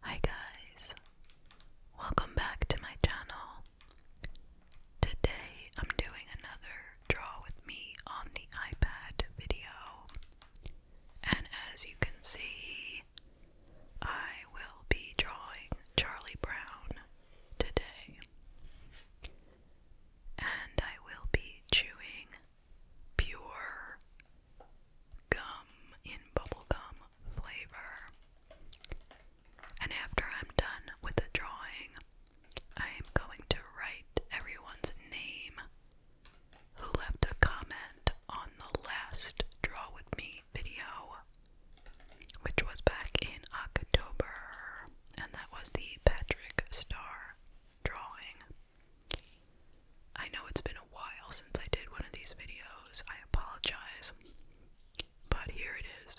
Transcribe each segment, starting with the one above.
Hi guys, welcome back to my channel. Today I'm doing another draw with me on the iPad video, and as you can see, I will be drawing Charlie Brown today, and I will be chewing pure gum in bubblegum flavor. And after I'm done with the drawing, I am going to write everyone's name who left a comment on the last Draw With Me video, which was back in October, and that was the Patrick Star drawing. I know it's been a while since I did one of these videos. I apologize. But here it is.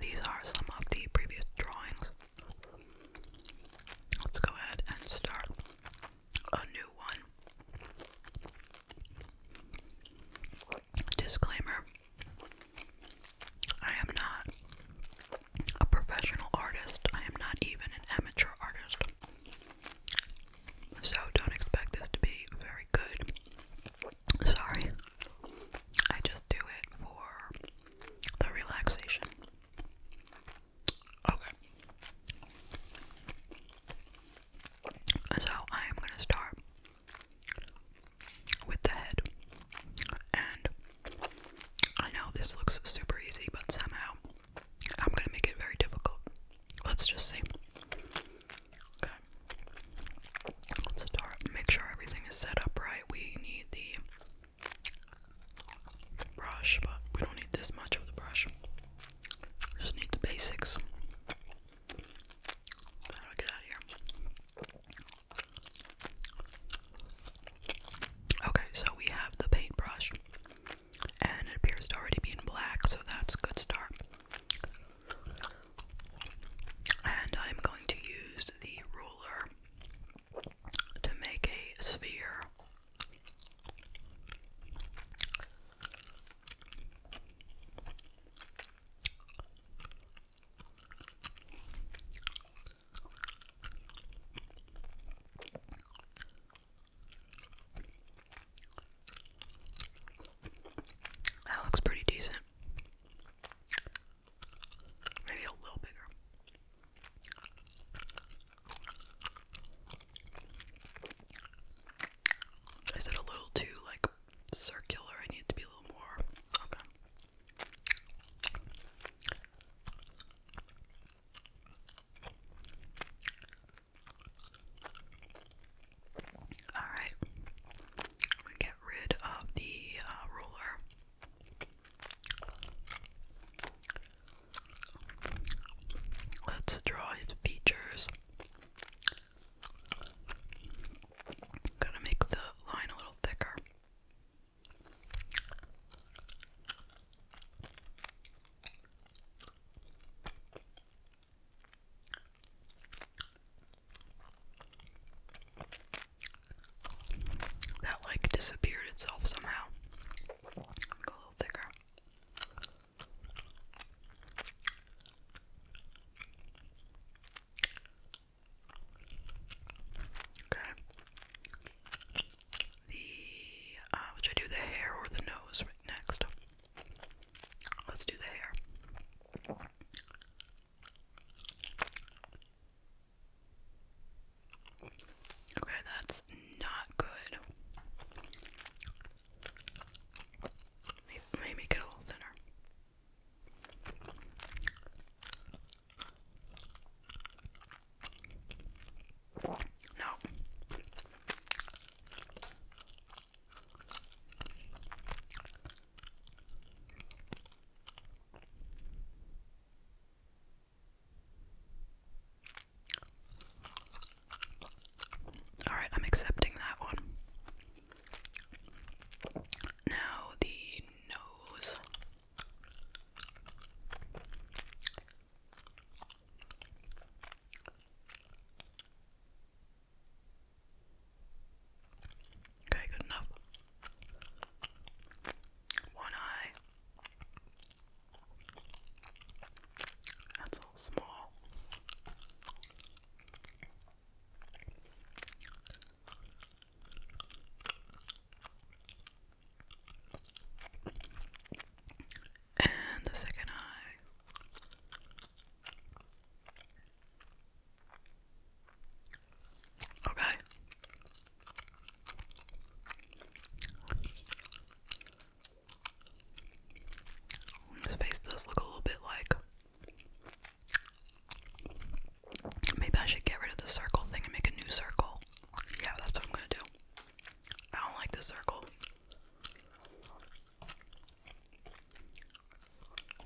These are some of the previous drawings. Let's go ahead and start a new one. Disclaimer I am not a professional artist, I am not even an amateur artist. So don't expect this to be very good. Sorry. I just do it for the relaxation. Okay. So I am going to start with the head. And I know this looks super easy, but somehow I'm going to make it very difficult. Let's just see. Okay. Let's start. Make sure everything is set up right. We need the brush, but we don't need this much of the brush. just need the basics. How do I get out of here? Okay, so we have the paintbrush, and it appears to already be in black, so that's a good start. And I'm going to use the ruler to make a sphere. That looks pretty decent. Maybe a little bigger. Is it a little too like circular? I need to be a little more. Okay. All get rid of the uh, ruler. Let's draw its features. i to make the line a little thicker that like disappeared itself somehow. Go a little thicker. Okay. The which uh, I do the hair or the nose right next. Let's do the hair. Okay, that's not good. Maybe make a little thinner. No. All right, I'm accepting that one. Now the nose. Okay, good enough. One eye. That's all small. And the second eye. Okay. His face does look a little bit like. Maybe I should get rid of the circle thing and make a new circle. Yeah, that's what I'm gonna do. I don't like the circle.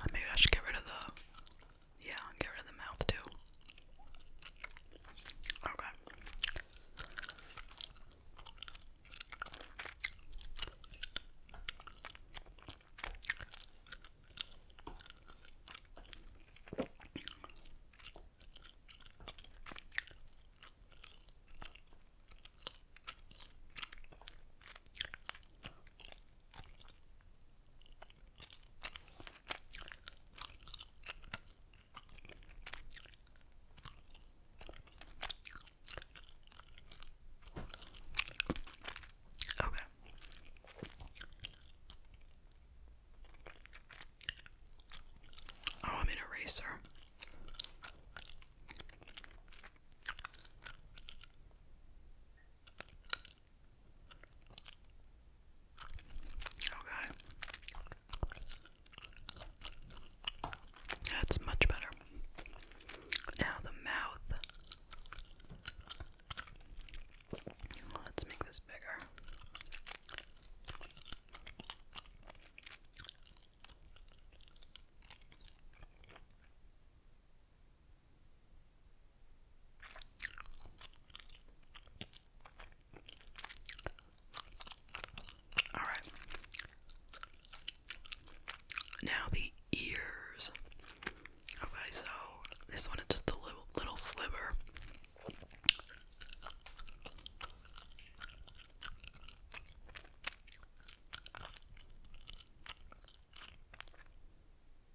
Uh, maybe I should get rid of the. Yeah, get rid of the mouth too. Okay. Okay. Oh, I'm an eraser. Okay. That's much better. Now the mouth. Let's make this bigger. All right. Now the ears. Okay, so this one is just a little little sliver.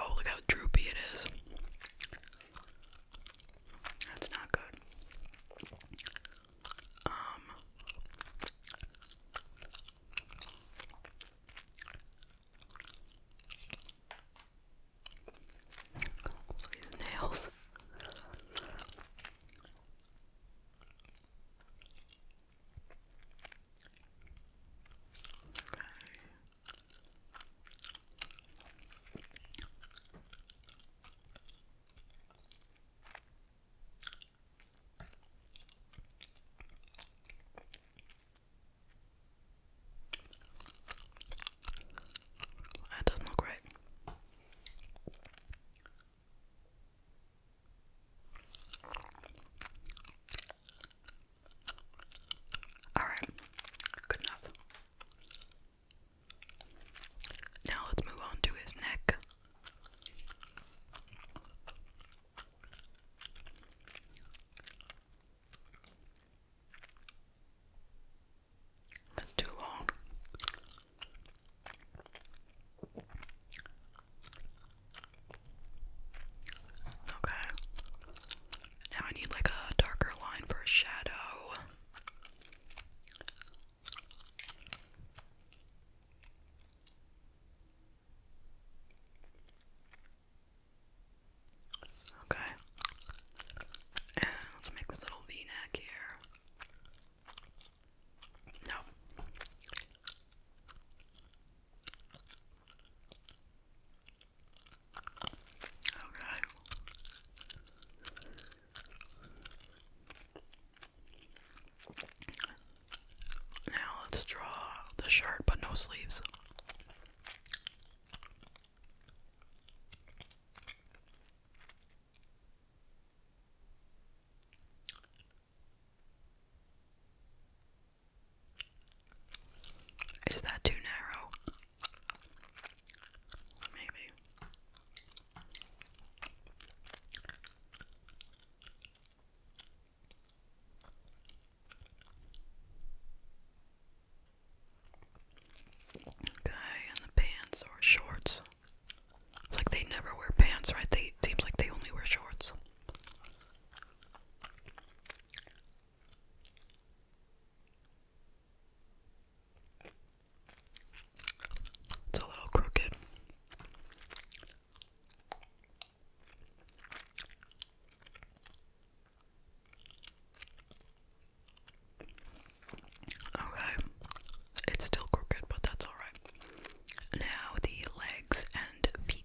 Oh, look how droopy it is. That's not good. Um These nails. Okay. That doesn't look right. Alright, good enough. Now let's move on to his neck. That's too long. Okay. Now I need like a darker line for a shadow. Okay. And let's make this little V neck here. No. Okay. Now let's draw the shirt, but no sleeves. Is that too narrow? Maybe. Okay, and the pants or shorts. It's like they never wear pants, right? They it seems like they only wear shorts. It's a little crooked. Okay. It's still crooked, but that's alright. Now the legs and feet.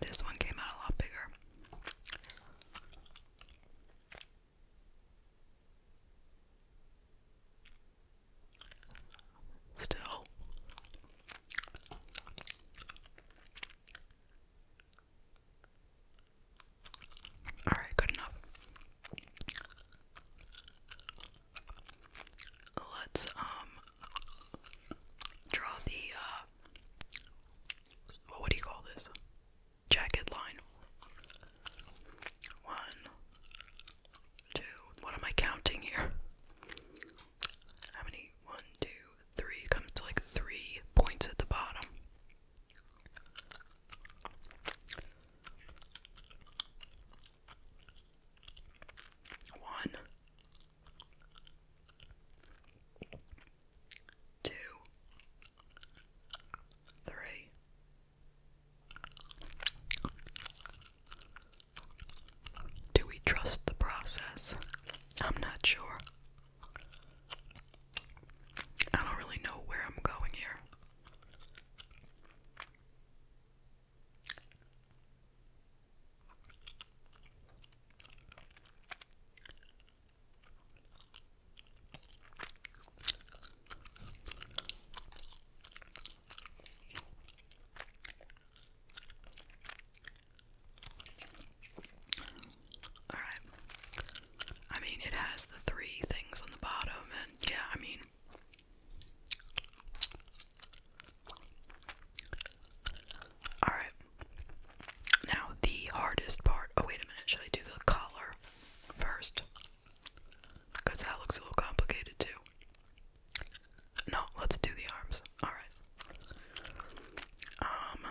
This one came out a lot bigger. Still. All right, good enough. Let's um draw the uh what do you call this? Jacket line. One, two. What am I counting here? How many? One, two, three. Comes to like three points at the bottom. One, two, three, do we trust the process? I'm not sure. I don't really know where I'm going here. Alright. I mean, it has the three things on the bottom, and yeah, I mean, Alright. Now, the hardest part. Oh, wait a minute. Should I do the collar first? Because that looks a little complicated, too. No, let's do the arms. Alright. Um.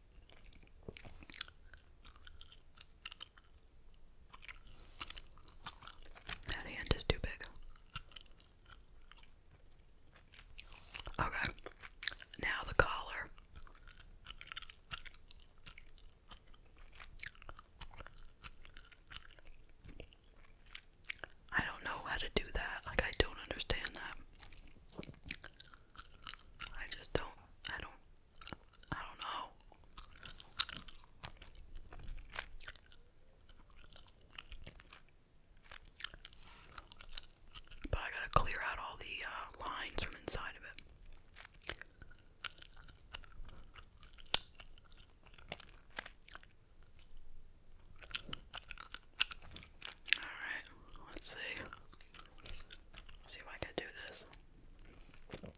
That hand is too big. Okay, now the collar. I don't know how to do that. Like, I don't understand that. I just don't, I don't, I don't know. But I gotta clear out all the uh, lines from inside of it. Alright, let's see. See if I can do this. Okay.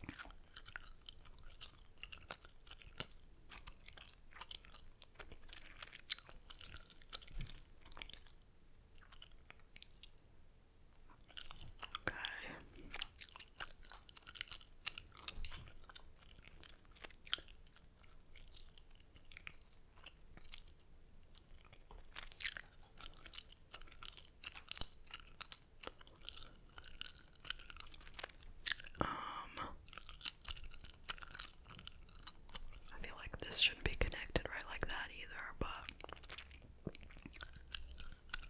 Um, I feel like this shouldn't be connected right like that either, but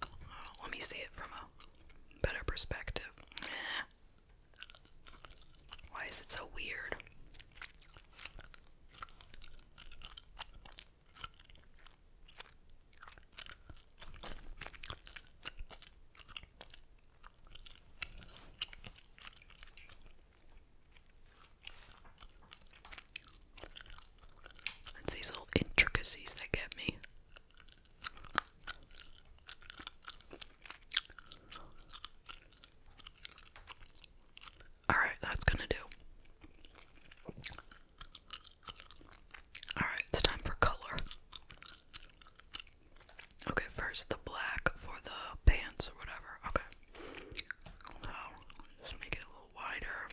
uh, let me see it from a better perspective. Why is it so weird? It's these little intricacies that get me. Alright, that's gonna do. Alright, it's time for color. Okay, first the black for the pants or whatever. Okay. So, just make it a little wider.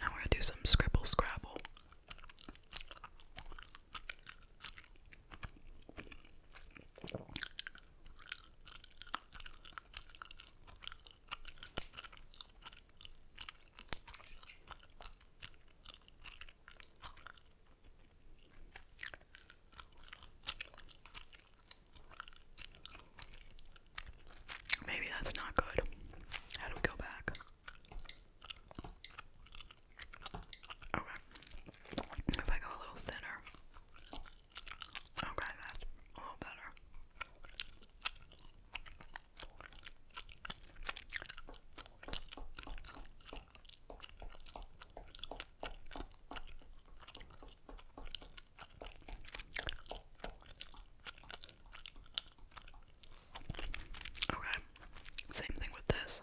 Now we're gonna do some scribble scrabble. Maybe that's not good. How do we go back? If I go a little thinner. Okay, that's a little better. Okay, same thing with this.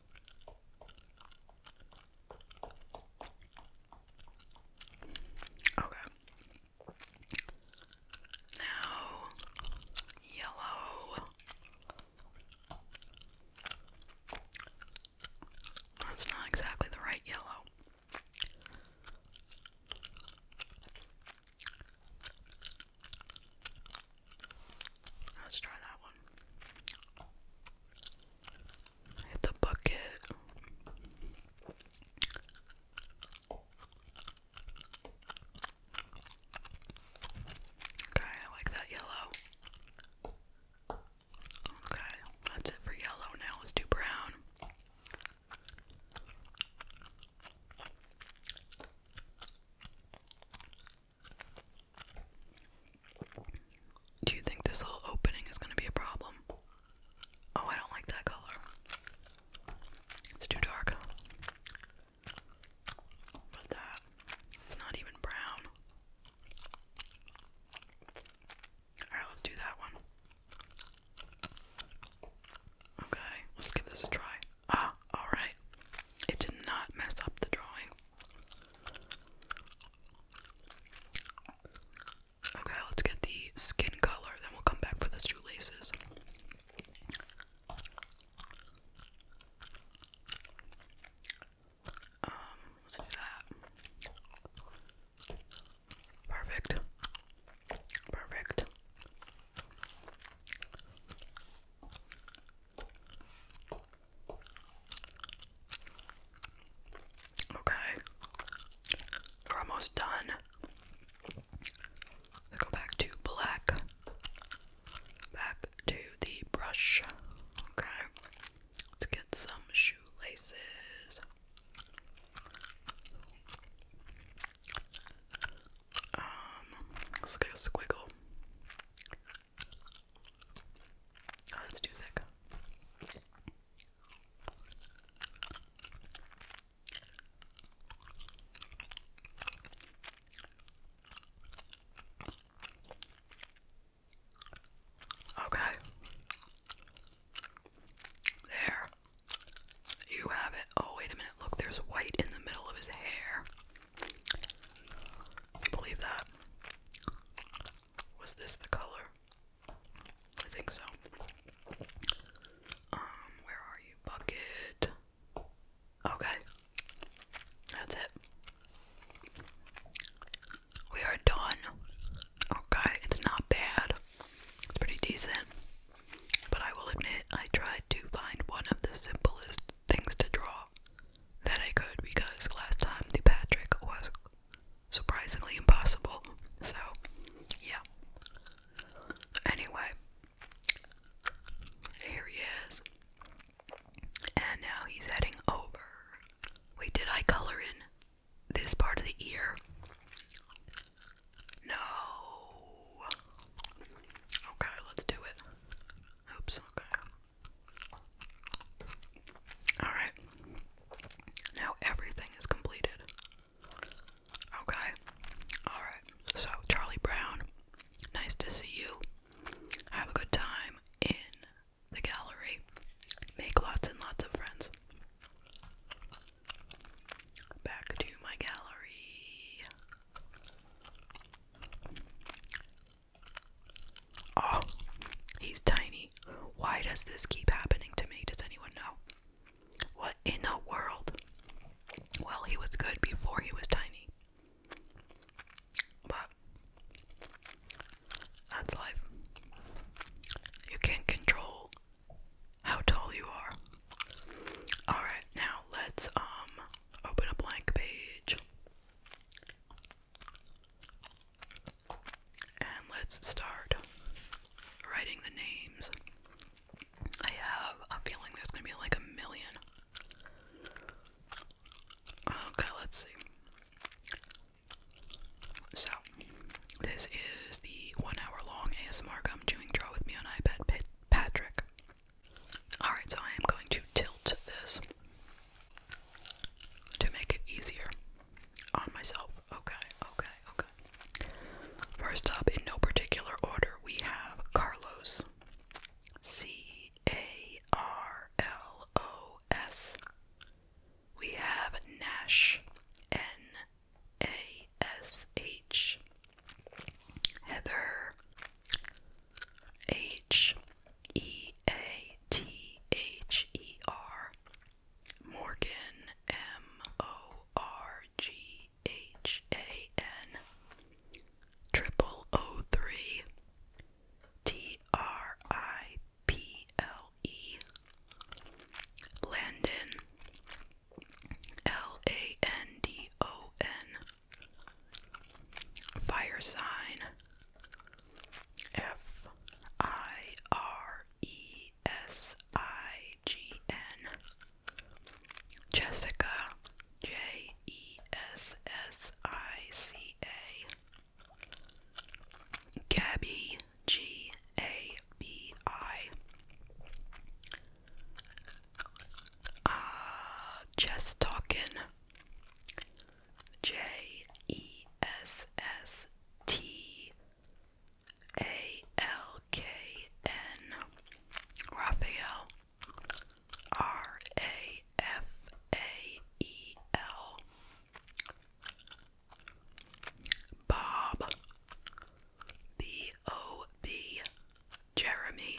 Okay. Now, yellow. That's not exactly the right yellow. Let's try that one. Hit the bucket. Okay, I like that yellow. Okay, that's it for yellow. Now let's do brown. Do you think this little opening is going to be a problem? Oh, I don't like that color. It's too dark. But that, it's not even brown. Alright, let's do that one. Okay, let's give this a try. Ah, alright. It did not mess up the drawing. Okay, let's get the skin color, then we'll come back for the shoelaces. Um, let's do that. Perfect. Perfect. Okay. We're almost done. Let's go back to black. Back to the brush. Okay. Let's get some shoelaces. Um, let's get a squiggle. Oh, that's too thick. Okay. There. You have it. Oh, wait a minute. Look, there's white in the middle of his hair believe that? Was this the color? I think so. Um, where are you? Bucket. Okay. That's it. We are done. Okay, it's not bad. It's pretty decent. But I will admit, I tried to find one of the simplest things to draw that I could because last time the Patrick was surprisingly impossible. So, yeah. Anyway, here he is. And now he's heading over. Wait, did I color in this part of the ear? No. Okay, let's do it. Oops, okay. Alright. Now everything is completed. Okay. Alright. So, Charlie Brown, nice to see you. Have a good time in the gallery. Make lots and lots of friends. Back to my gallery. Oh, he's tiny. Why does this keep happening to me? Does anyone know? What in the world? Well, he was good before he was tiny. But that's life. You can't control how tall you are. Alright, now let's um Open a blank page. And let's start writing the names. I have a feeling there's gonna be like a million. Okay, let's see. So, this is the one hour long ASMR I'm chewing draw with me on iPad Patrick. Alright, so I am going to tilt this to make it easier on myself. Okay, okay, okay. First up, in no particular order, we have Carlos. C A R L O S. We have Nash. N A S H. Heather. H E A T H E R Morgan M O R G H A N Triple O three T R I P L E Landon L A N D O N Fire sign F I R E S I G N Jessica J E S S I C A Gabby G A B I uh, just talking. J E S S T A L K N Raphael B O B Jeremy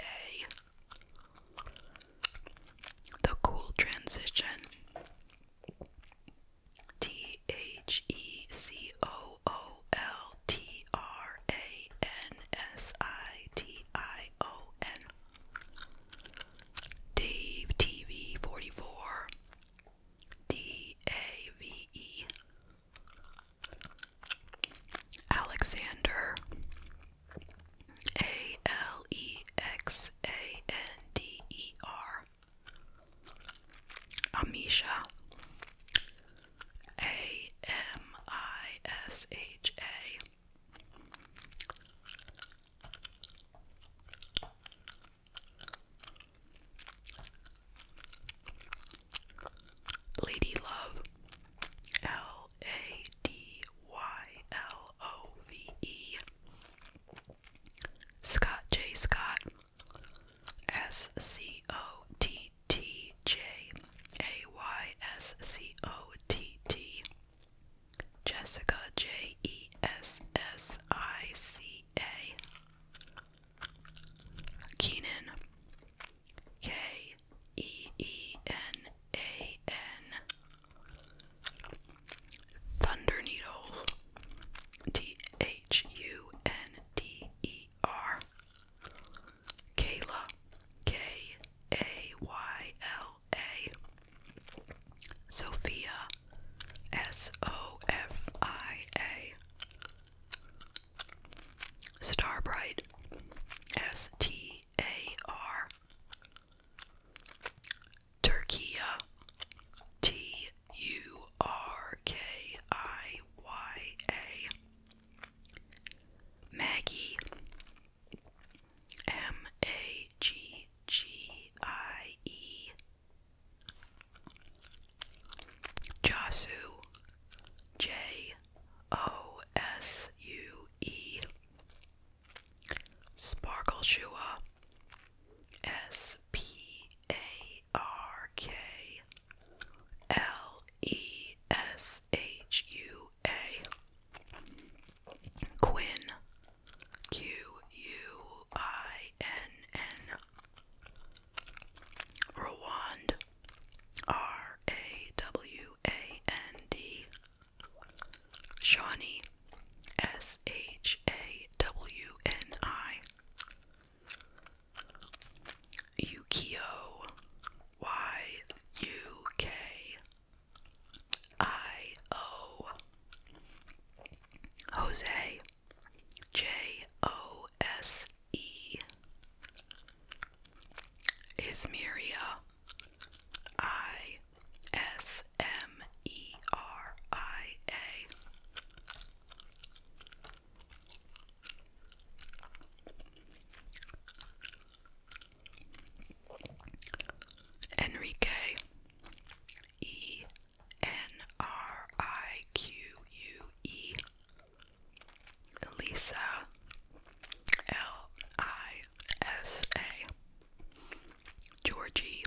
a the cool transition T H E C O O L T R A N S I T I O N Dave TV 44 D A V E Alexander a L E X A N D E R. Amisha. A M I S H A. Lady Love L A D Y L O V E. Scott J. Scott. S C O T T J A Y S C O T T. Jessica J E S S I C A. Keenan K E E N A N Thunder Needles T H U N D E R Kayla K A Y L A Sophia S O F I A Starbright S T T A R. Turkia. Uh, T U R K I Y A. Maggie. M A G G I E. Josu. J O S U E. Sparkle Shua S P A R K L E S H U A Quinn Q U I N N Rwand R A W A N D Shawnee S H A W N I Yukio Y U K I O Jose J O S E Ismiria I S M E R I A. Enrique E N R I Q U E Elisa L I S A Georgie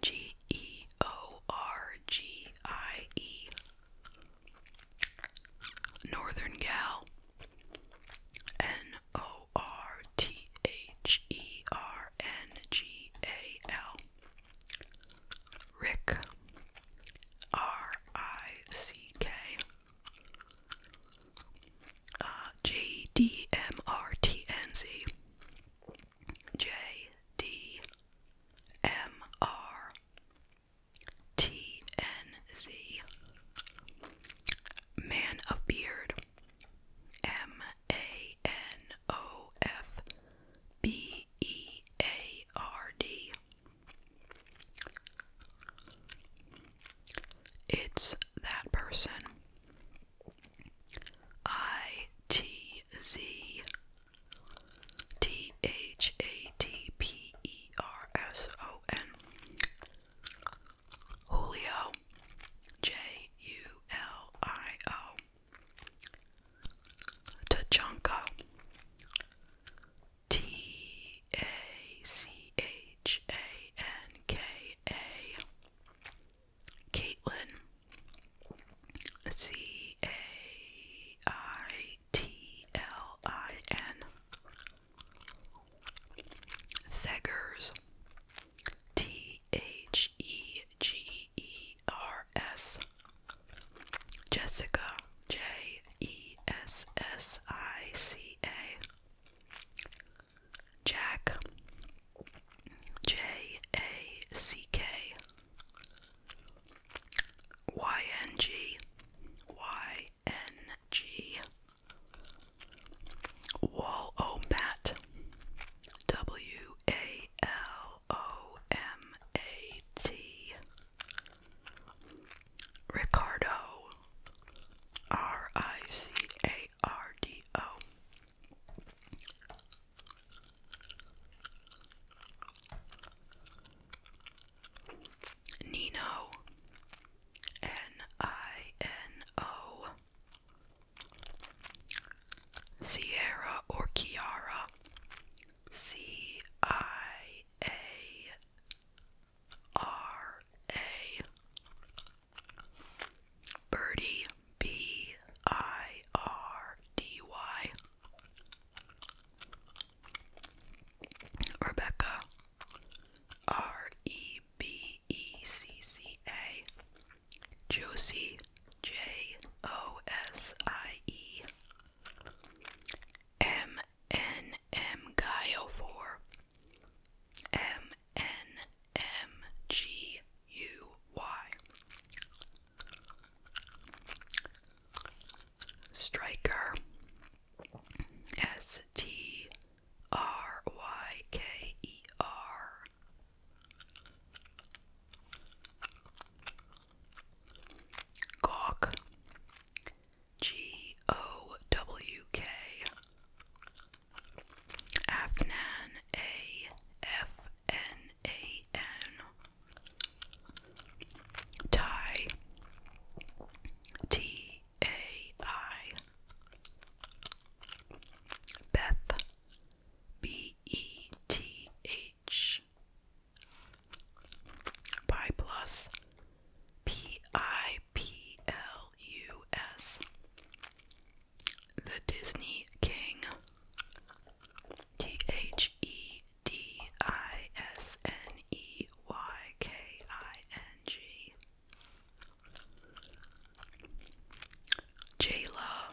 G E O R G I E Northern Gal N O R T H E R N G A L Rick R I C K uh, J D M R T N Z. J D M R T N Z. Man of Beard. M A N O F B E A R D. It's that person. I T Z T H A T P E R S O N Julio J U L I O Tachanka T A C H A N K A Caitlin C A I T L I N Theggers T H E G E R S Jessica J E S S I C A. Jack. J A C K. Y N G. Y N G. Wall W A L O M A T. Ricardo R I C A R D O Nino N I N O Sierra or Kiara C I A R A Birdie B I R D Y Rebecca R E B E C C A Josie J O S I E M N M Gaio for M N M G U Y Striker S T R Y K E R Gawk G O W K Afnan A F N A N Tie T A I Beth B E T H Pi Plus. P I P L U S. The Disney King. T H E D I S N E Y K I N G. Jayla.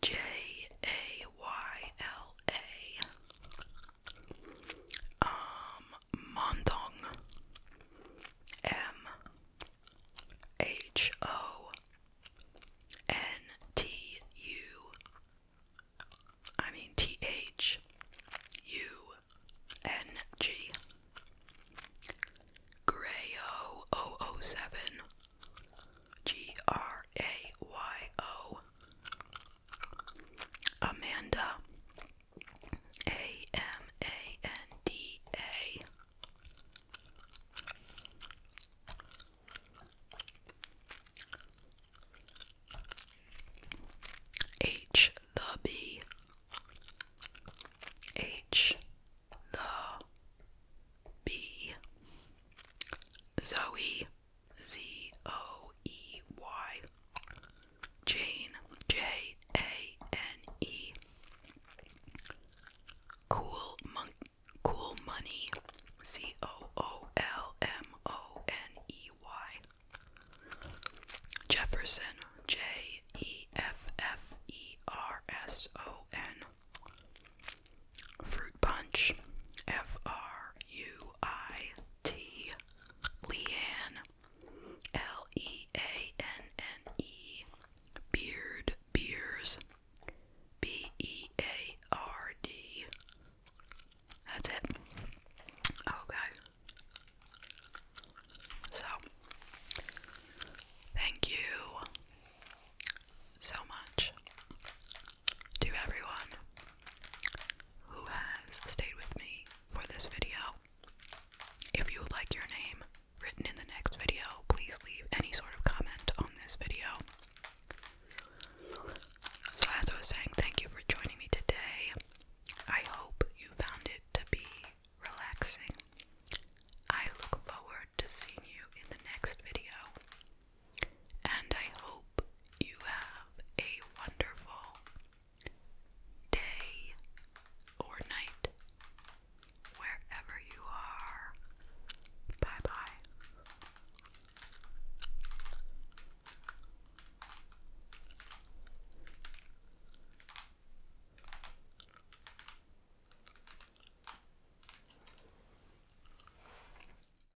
J A Y L A. Um, M H O N T U. I mean T H U N G. Grayo 007. G R A Y O Amanda A M A N D A H the B H the B Zoe Z O E Y. Jane. J A N E. Cool Monk. Cool Money. C O O L M O N E Y. Jefferson. J E F F E R S O N. Fruit Punch. F R U I T Leanne L E A N N E Beard Beers B E A R D. That's it. Okay. So, thank you so much to everyone who has stayed with me for this video. If you would like your name written in the next video, please leave any sort of comment on this video. So, as I was saying, thank you for joining me today. I hope you found it to be relaxing. I look forward to seeing you in the next video and I hope you have a wonderful day or night wherever you are. Bye bye.